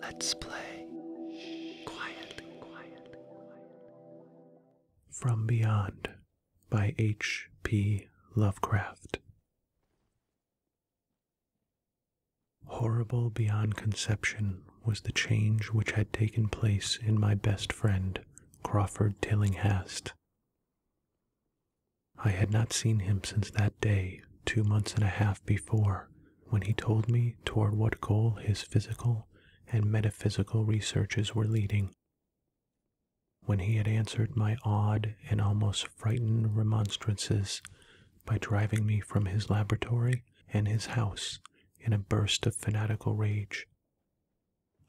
Let's play quietly, From Beyond by H.P. Lovecraft. Horrible beyond conception was the change which had taken place in my best friend, Crawford Tillinghast. I had not seen him since that day, two months and a half before, when he told me toward what goal his physical and metaphysical researches were leading. When he had answered my awed and almost frightened remonstrances by driving me from his laboratory and his house in a burst of fanatical rage,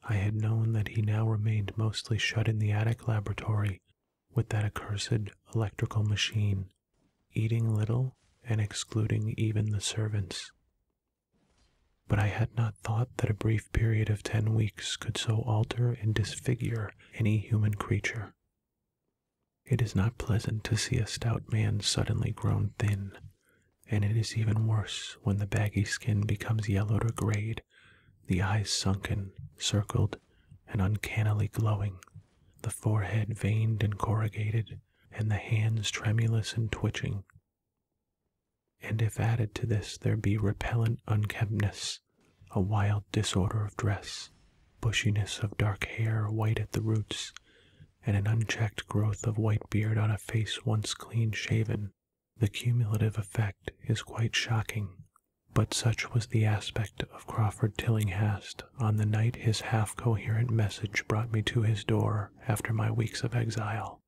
I had known that he now remained mostly shut in the attic laboratory with that accursed electrical machine eating little and excluding even the servants. But I had not thought that a brief period of ten weeks could so alter and disfigure any human creature. It is not pleasant to see a stout man suddenly grown thin, and it is even worse when the baggy skin becomes yellowed or grayed, the eyes sunken, circled, and uncannily glowing the forehead veined and corrugated, and the hands tremulous and twitching. And if added to this there be repellent unkemptness, a wild disorder of dress, bushiness of dark hair white at the roots, and an unchecked growth of white beard on a face once clean shaven, the cumulative effect is quite shocking but such was the aspect of Crawford Tillinghast on the night his half coherent message brought me to his door after my weeks of exile.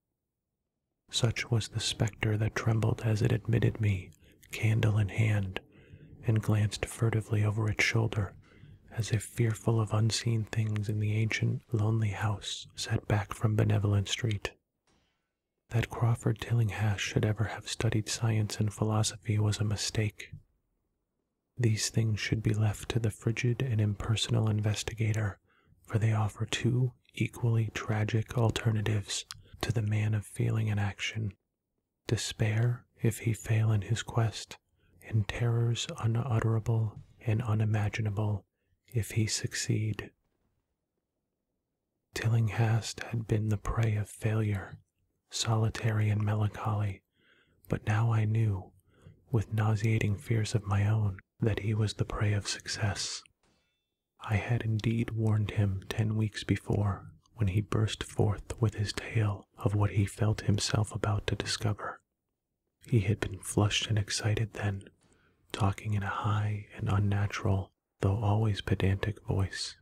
Such was the spectre that trembled as it admitted me, candle in hand, and glanced furtively over its shoulder, as if fearful of unseen things in the ancient, lonely house set back from Benevolent Street. That Crawford Tillinghast should ever have studied science and philosophy was a mistake. These things should be left to the frigid and impersonal investigator, for they offer two equally tragic alternatives to the man of feeling and action despair if he fail in his quest, and terrors unutterable and unimaginable if he succeed. Tillinghast had been the prey of failure, solitary and melancholy, but now I knew, with nauseating fears of my own, that he was the prey of success. I had indeed warned him ten weeks before, when he burst forth with his tale of what he felt himself about to discover. He had been flushed and excited then, talking in a high and unnatural, though always pedantic voice.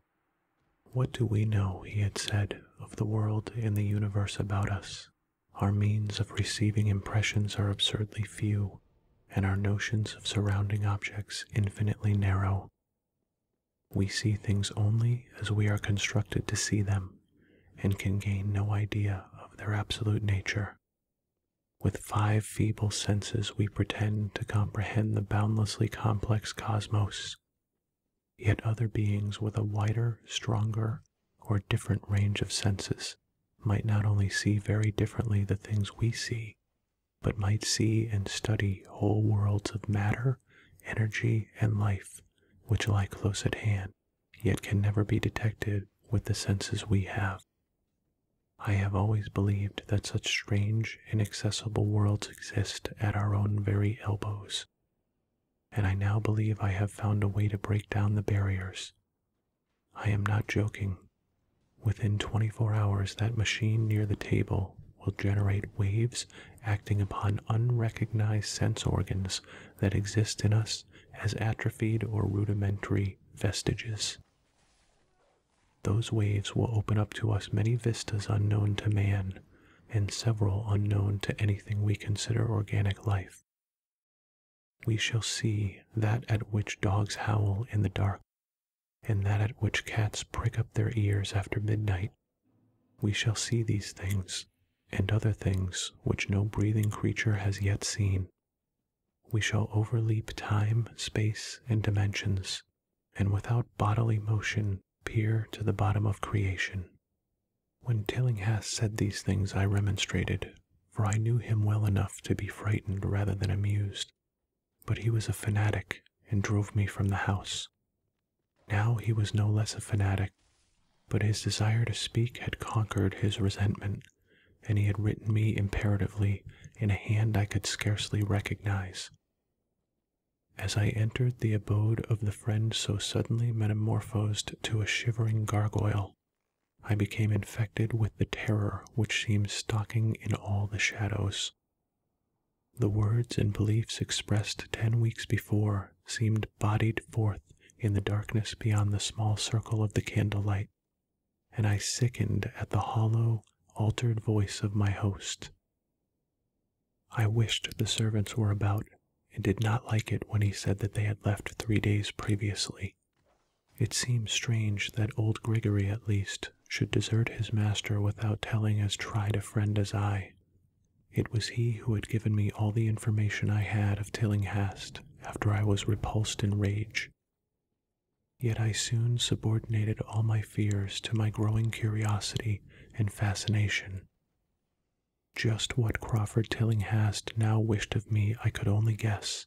What do we know, he had said, of the world and the universe about us? Our means of receiving impressions are absurdly few, and our notions of surrounding objects infinitely narrow. We see things only as we are constructed to see them, and can gain no idea of their absolute nature. With five feeble senses, we pretend to comprehend the boundlessly complex cosmos, Yet other beings with a wider, stronger, or different range of senses might not only see very differently the things we see, but might see and study whole worlds of matter, energy, and life which lie close at hand, yet can never be detected with the senses we have. I have always believed that such strange inaccessible worlds exist at our own very elbows, and I now believe I have found a way to break down the barriers. I am not joking. Within 24 hours, that machine near the table will generate waves acting upon unrecognized sense organs that exist in us as atrophied or rudimentary vestiges. Those waves will open up to us many vistas unknown to man, and several unknown to anything we consider organic life. We shall see that at which dogs howl in the dark, and that at which cats prick up their ears after midnight. We shall see these things, and other things which no breathing creature has yet seen. We shall overleap time, space, and dimensions, and without bodily motion peer to the bottom of creation. When Tillinghast said these things, I remonstrated, for I knew him well enough to be frightened rather than amused. But he was a fanatic and drove me from the house. Now he was no less a fanatic, but his desire to speak had conquered his resentment, and he had written me imperatively in a hand I could scarcely recognize. As I entered the abode of the friend so suddenly metamorphosed to a shivering gargoyle, I became infected with the terror which seems stalking in all the shadows. The words and beliefs expressed ten weeks before seemed bodied forth in the darkness beyond the small circle of the candlelight, and I sickened at the hollow, altered voice of my host. I wished the servants were about, and did not like it when he said that they had left three days previously. It seemed strange that old Grigory, at least, should desert his master without telling as tried a friend as I. It was he who had given me all the information I had of Tillinghast after I was repulsed in rage. Yet I soon subordinated all my fears to my growing curiosity and fascination. Just what Crawford Tillinghast now wished of me I could only guess,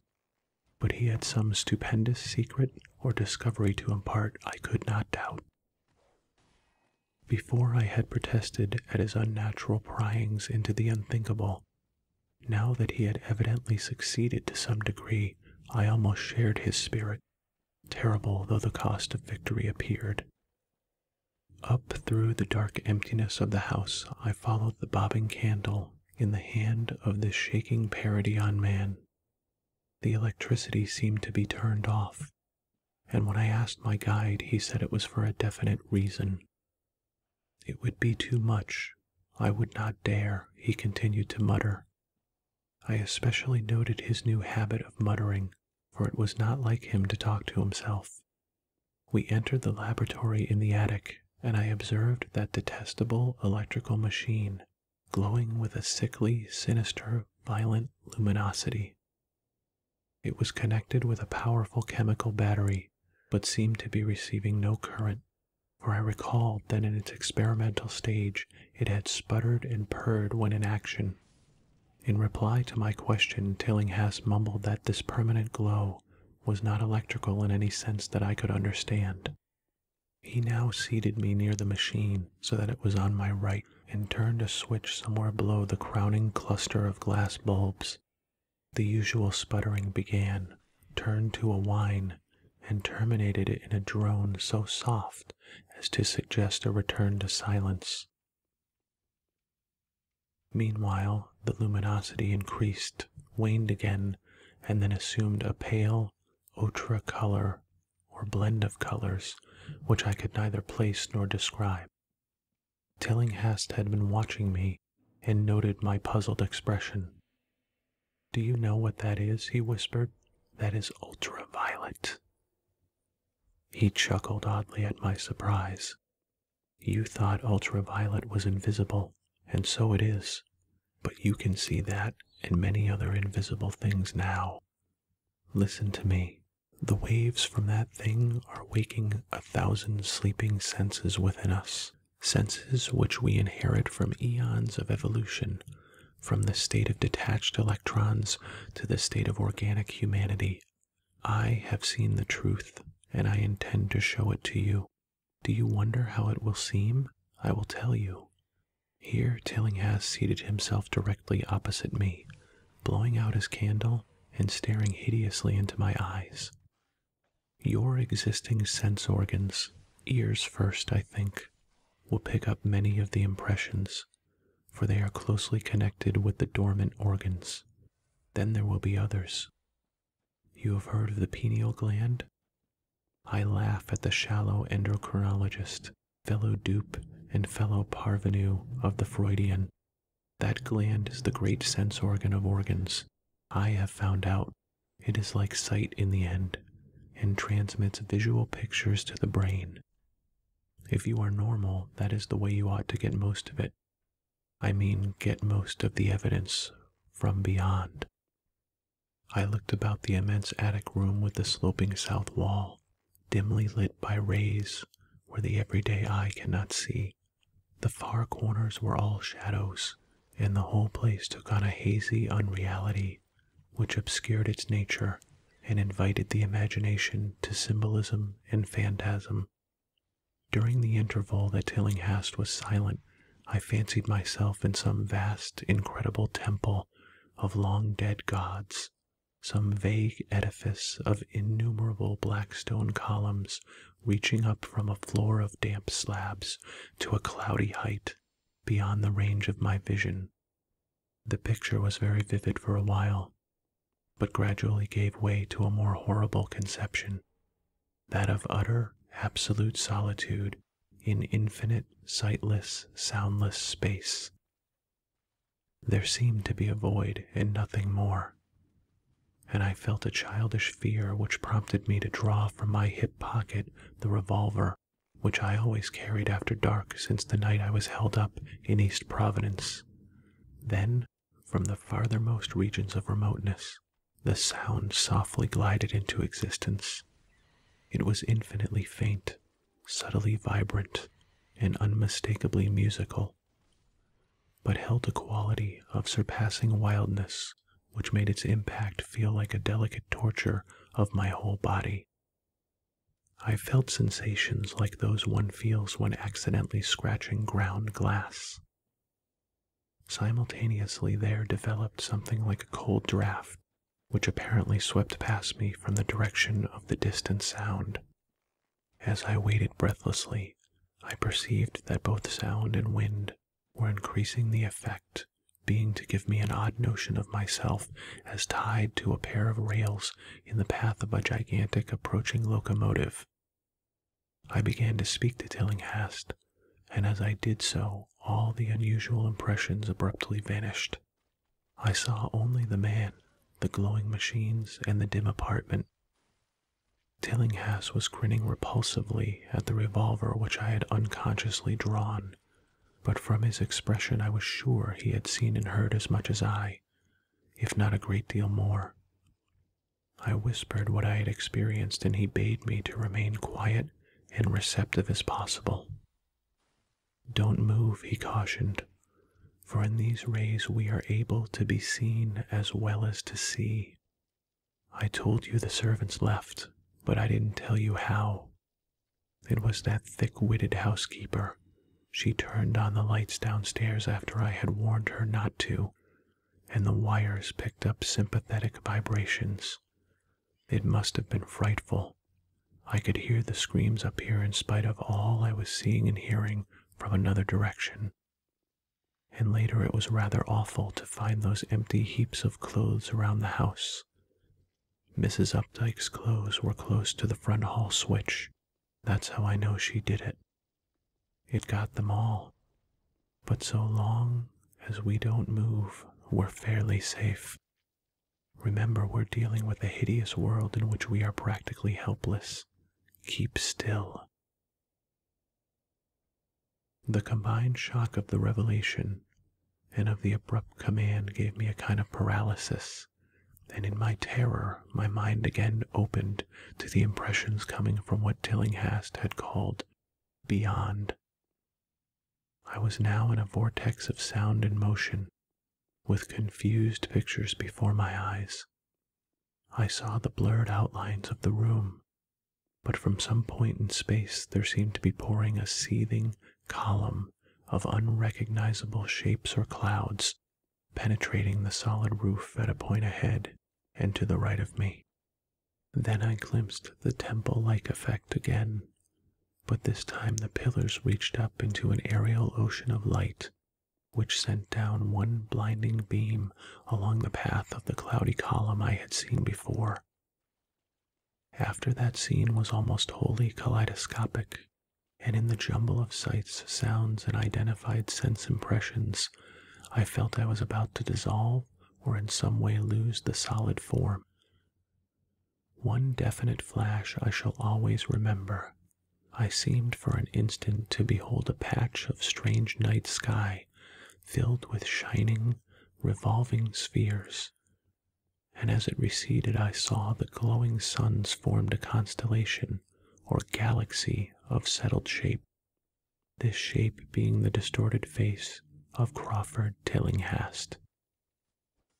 but he had some stupendous secret or discovery to impart I could not doubt. Before I had protested at his unnatural pryings into the unthinkable, now that he had evidently succeeded to some degree, I almost shared his spirit terrible though the cost of victory appeared. Up through the dark emptiness of the house, I followed the bobbing candle in the hand of this shaking parody on man. The electricity seemed to be turned off, and when I asked my guide, he said it was for a definite reason. It would be too much. I would not dare, he continued to mutter. I especially noted his new habit of muttering, for it was not like him to talk to himself. We entered the laboratory in the attic, and I observed that detestable electrical machine, glowing with a sickly, sinister, violent luminosity. It was connected with a powerful chemical battery, but seemed to be receiving no current, for I recalled that in its experimental stage it had sputtered and purred when in action. In reply to my question, Tillinghast mumbled that this permanent glow was not electrical in any sense that I could understand. He now seated me near the machine so that it was on my right and turned a switch somewhere below the crowning cluster of glass bulbs. The usual sputtering began, turned to a whine, and terminated it in a drone so soft as to suggest a return to silence. Meanwhile, the luminosity increased, waned again, and then assumed a pale, ochre color, or blend of colors, which I could neither place nor describe. Tillinghast had been watching me and noted my puzzled expression. Do you know what that is? he whispered. That is ultraviolet. He chuckled oddly at my surprise. You thought ultraviolet was invisible, and so it is. But you can see that and many other invisible things now. Listen to me. The waves from that thing are waking a thousand sleeping senses within us, senses which we inherit from eons of evolution, from the state of detached electrons to the state of organic humanity. I have seen the truth, and I intend to show it to you. Do you wonder how it will seem? I will tell you. Here, Tillinghast seated himself directly opposite me, blowing out his candle and staring hideously into my eyes. Your existing sense organs, ears first, I think, will pick up many of the impressions, for they are closely connected with the dormant organs. Then there will be others. You have heard of the pineal gland? I laugh at the shallow endocrinologist, fellow dupe and fellow parvenu of the Freudian. That gland is the great sense organ of organs. I have found out it is like sight in the end, and transmits visual pictures to the brain. If you are normal, that is the way you ought to get most of it. I mean, get most of the evidence from beyond. I looked about the immense attic room with the sloping south wall, dimly lit by rays where the everyday eye cannot see. The far corners were all shadows, and the whole place took on a hazy unreality which obscured its nature and invited the imagination to symbolism and phantasm. During the interval that Tillinghast was silent, I fancied myself in some vast, incredible temple of long dead gods, some vague edifice of innumerable black stone columns reaching up from a floor of damp slabs to a cloudy height beyond the range of my vision. The picture was very vivid for a while, but gradually gave way to a more horrible conception that of utter, absolute solitude in infinite, sightless, soundless space. There seemed to be a void and nothing more, and I felt a childish fear which prompted me to draw from my hip pocket the revolver which I always carried after dark since the night I was held up in East Providence. Then, from the farthermost regions of remoteness, the sound softly glided into existence. It was infinitely faint, subtly vibrant, and unmistakably musical, but held a quality of surpassing wildness which made its impact feel like a delicate torture of my whole body. I felt sensations like those one feels when accidentally scratching ground glass. Simultaneously, there developed something like a cold draft, which apparently swept past me from the direction of the distant sound. As I waited breathlessly, I perceived that both sound and wind were increasing the effect being to give me an odd notion of myself as tied to a pair of rails in the path of a gigantic approaching locomotive. I began to speak to Tillinghast, and as I did so, all the unusual impressions abruptly vanished. I saw only the man, the glowing machines, and the dim apartment. Tillinghast was grinning repulsively at the revolver which I had unconsciously drawn but from his expression I was sure he had seen and heard as much as I, if not a great deal more. I whispered what I had experienced, and he bade me to remain quiet and receptive as possible. Don't move, he cautioned, for in these rays we are able to be seen as well as to see. I told you the servants left, but I didn't tell you how, it was that thick witted housekeeper. She turned on the lights downstairs after I had warned her not to, and the wires picked up sympathetic vibrations. It must have been frightful. I could hear the screams up here in spite of all I was seeing and hearing from another direction. And later it was rather awful to find those empty heaps of clothes around the house. Mrs. Updike's clothes were close to the front hall switch. That's how I know she did it. It got them all. But so long as we don't move, we're fairly safe. Remember, we're dealing with a hideous world in which we are practically helpless. Keep still. The combined shock of the revelation and of the abrupt command gave me a kind of paralysis, and in my terror my mind again opened to the impressions coming from what Tillinghast had called beyond. I was now in a vortex of sound and motion, with confused pictures before my eyes. I saw the blurred outlines of the room, but from some point in space there seemed to be pouring a seething column of unrecognizable shapes or clouds, penetrating the solid roof at a point ahead and to the right of me. Then I glimpsed the temple like effect again, but this time the pillars reached up into an aerial ocean of light, which sent down one blinding beam along the path of the cloudy column I had seen before. After that scene was almost wholly kaleidoscopic, and in the jumble of sights, sounds, and identified sense impressions, I felt I was about to dissolve or in some way lose the solid form. One definite flash I shall always remember. I seemed for an instant to behold a patch of strange night sky filled with shining, revolving spheres and as it receded, I saw the glowing suns formed a constellation or galaxy of settled shape, this shape being the distorted face of Crawford Tillinghast.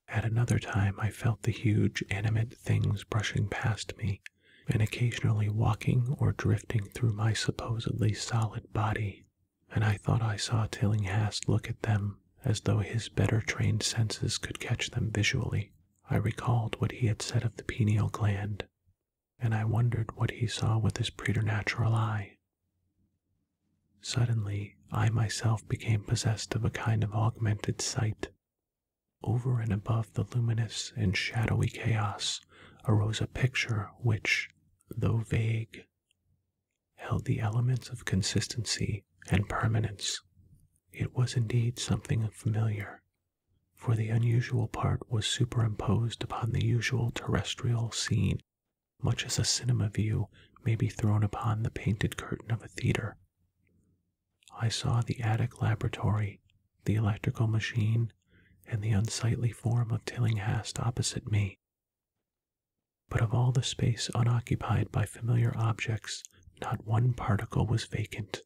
At another time, I felt the huge animate things brushing past me and occasionally walking or drifting through my supposedly solid body and I thought I saw Tillinghast look at them as though his better trained senses could catch them visually. I recalled what he had said of the pineal gland, and I wondered what he saw with his preternatural eye. Suddenly, I myself became possessed of a kind of augmented sight. Over and above the luminous and shadowy chaos arose a picture which, though vague, held the elements of consistency and permanence. It was indeed something familiar, for the unusual part was superimposed upon the usual terrestrial scene, much as a cinema view may be thrown upon the painted curtain of a theater. I saw the attic laboratory, the electrical machine, and the unsightly form of Tillinghast opposite me. But of all the space unoccupied by familiar objects, not one particle was vacant.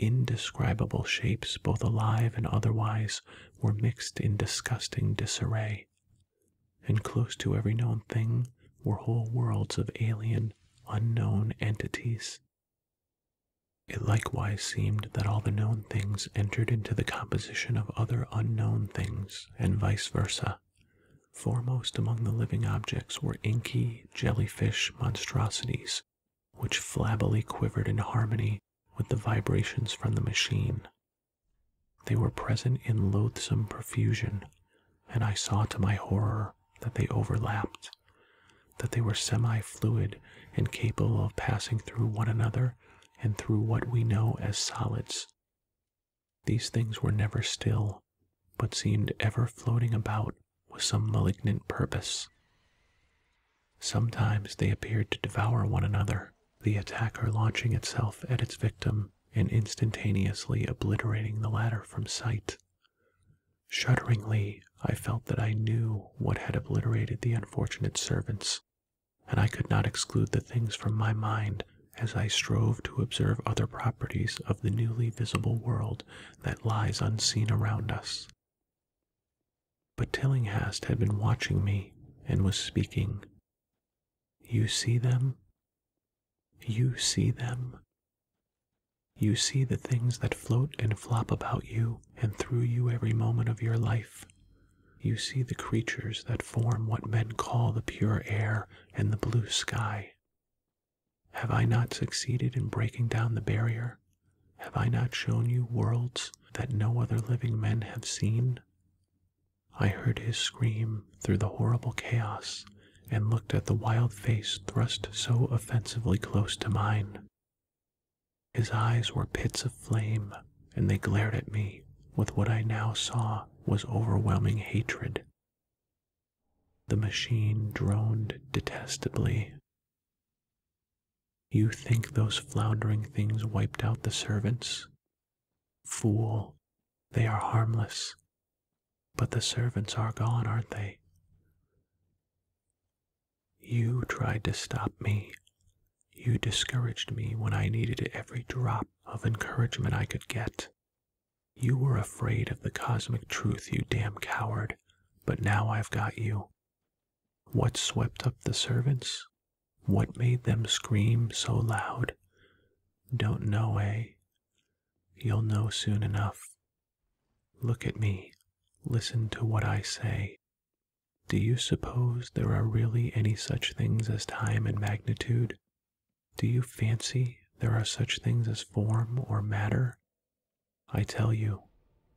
Indescribable shapes, both alive and otherwise, were mixed in disgusting disarray, and close to every known thing were whole worlds of alien, unknown entities. It likewise seemed that all the known things entered into the composition of other unknown things, and vice versa. Foremost among the living objects were inky jellyfish monstrosities, which flabbily quivered in harmony with the vibrations from the machine. They were present in loathsome profusion, and I saw to my horror that they overlapped, that they were semi fluid and capable of passing through one another and through what we know as solids. These things were never still, but seemed ever floating about with some malignant purpose. Sometimes they appeared to devour one another, the attacker launching itself at its victim and instantaneously obliterating the latter from sight. Shudderingly, I felt that I knew what had obliterated the unfortunate servants, and I could not exclude the things from my mind as I strove to observe other properties of the newly visible world that lies unseen around us. But Tillinghast had been watching me and was speaking. You see them? You see them? You see the things that float and flop about you and through you every moment of your life, you see the creatures that form what men call the pure air and the blue sky. Have I not succeeded in breaking down the barrier? Have I not shown you worlds that no other living men have seen? I heard his scream through the horrible chaos and looked at the wild face thrust so offensively close to mine. His eyes were pits of flame, and they glared at me with what I now saw was overwhelming hatred. The machine droned detestably. You think those floundering things wiped out the servants? Fool, they are harmless. But the servants are gone, aren't they? You tried to stop me, you discouraged me when I needed every drop of encouragement I could get. You were afraid of the cosmic truth, you damn coward, but now I've got you. What swept up the servants? What made them scream so loud? Don't know, eh? You'll know soon enough. Look at me. Listen to what I say. Do you suppose there are really any such things as time and magnitude? Do you fancy there are such things as form or matter? I tell you,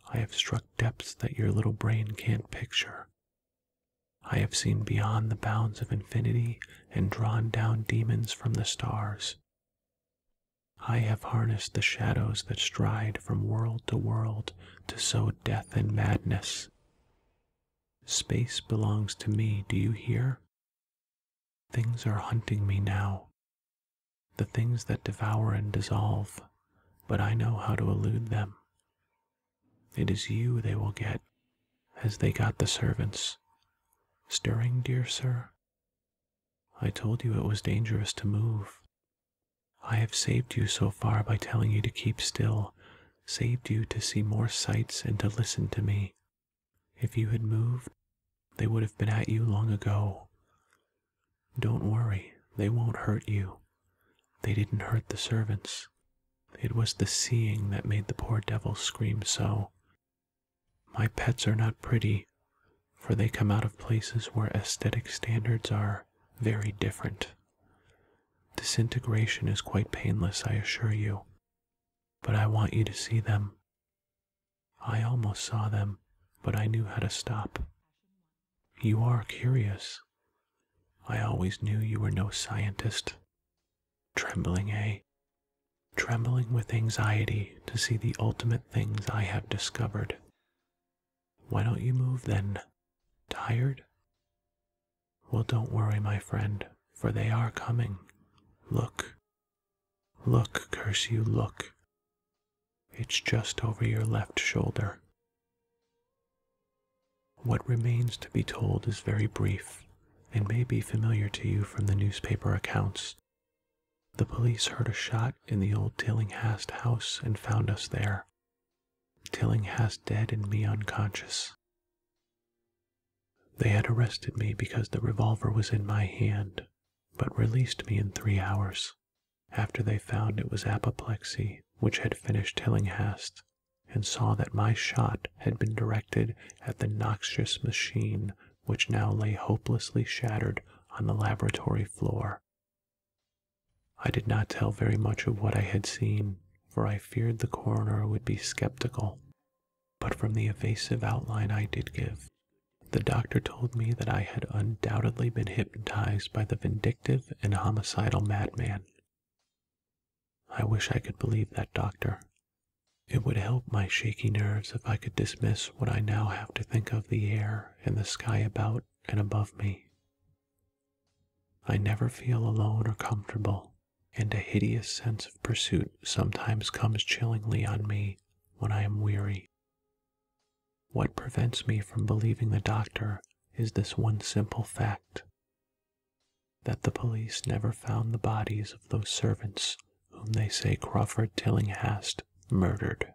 I have struck depths that your little brain can't picture. I have seen beyond the bounds of infinity and drawn down demons from the stars. I have harnessed the shadows that stride from world to world to sow death and madness Space belongs to me, do you hear? Things are hunting me now. The things that devour and dissolve, but I know how to elude them. It is you they will get, as they got the servants. Stirring, dear sir? I told you it was dangerous to move, I have saved you so far by telling you to keep still, saved you to see more sights and to listen to me. If you had moved, they would have been at you long ago. Don't worry, they won't hurt you. They didn't hurt the servants. It was the seeing that made the poor devil scream so. My pets are not pretty, for they come out of places where aesthetic standards are very different. Disintegration is quite painless, I assure you, but I want you to see them. I almost saw them, but I knew how to stop. You are curious. I always knew you were no scientist. Trembling, eh? Trembling with anxiety to see the ultimate things I have discovered. Why don't you move then? Tired? Well, don't worry, my friend, for they are coming. Look. Look, curse you, look. It's just over your left shoulder. What remains to be told is very brief and may be familiar to you from the newspaper accounts. The police heard a shot in the old Tillinghast house and found us there. Tillinghast dead and me unconscious. They had arrested me because the revolver was in my hand, but released me in three hours, after they found it was apoplexy which had finished Tillinghast, and saw that my shot had been directed at the noxious machine which now lay hopelessly shattered on the laboratory floor I did not tell very much of what I had seen, for I feared the coroner would be skeptical. But from the evasive outline I did give, the doctor told me that I had undoubtedly been hypnotized by the vindictive and homicidal madman. I wish I could believe that doctor. It would help my shaky nerves if I could dismiss what I now have to think of the air and the sky about and above me. I never feel alone or comfortable, and a hideous sense of pursuit sometimes comes chillingly on me when I am weary. What prevents me from believing the doctor is this one simple fact that the police never found the bodies of those servants whom they say Crawford Tillinghast murdered.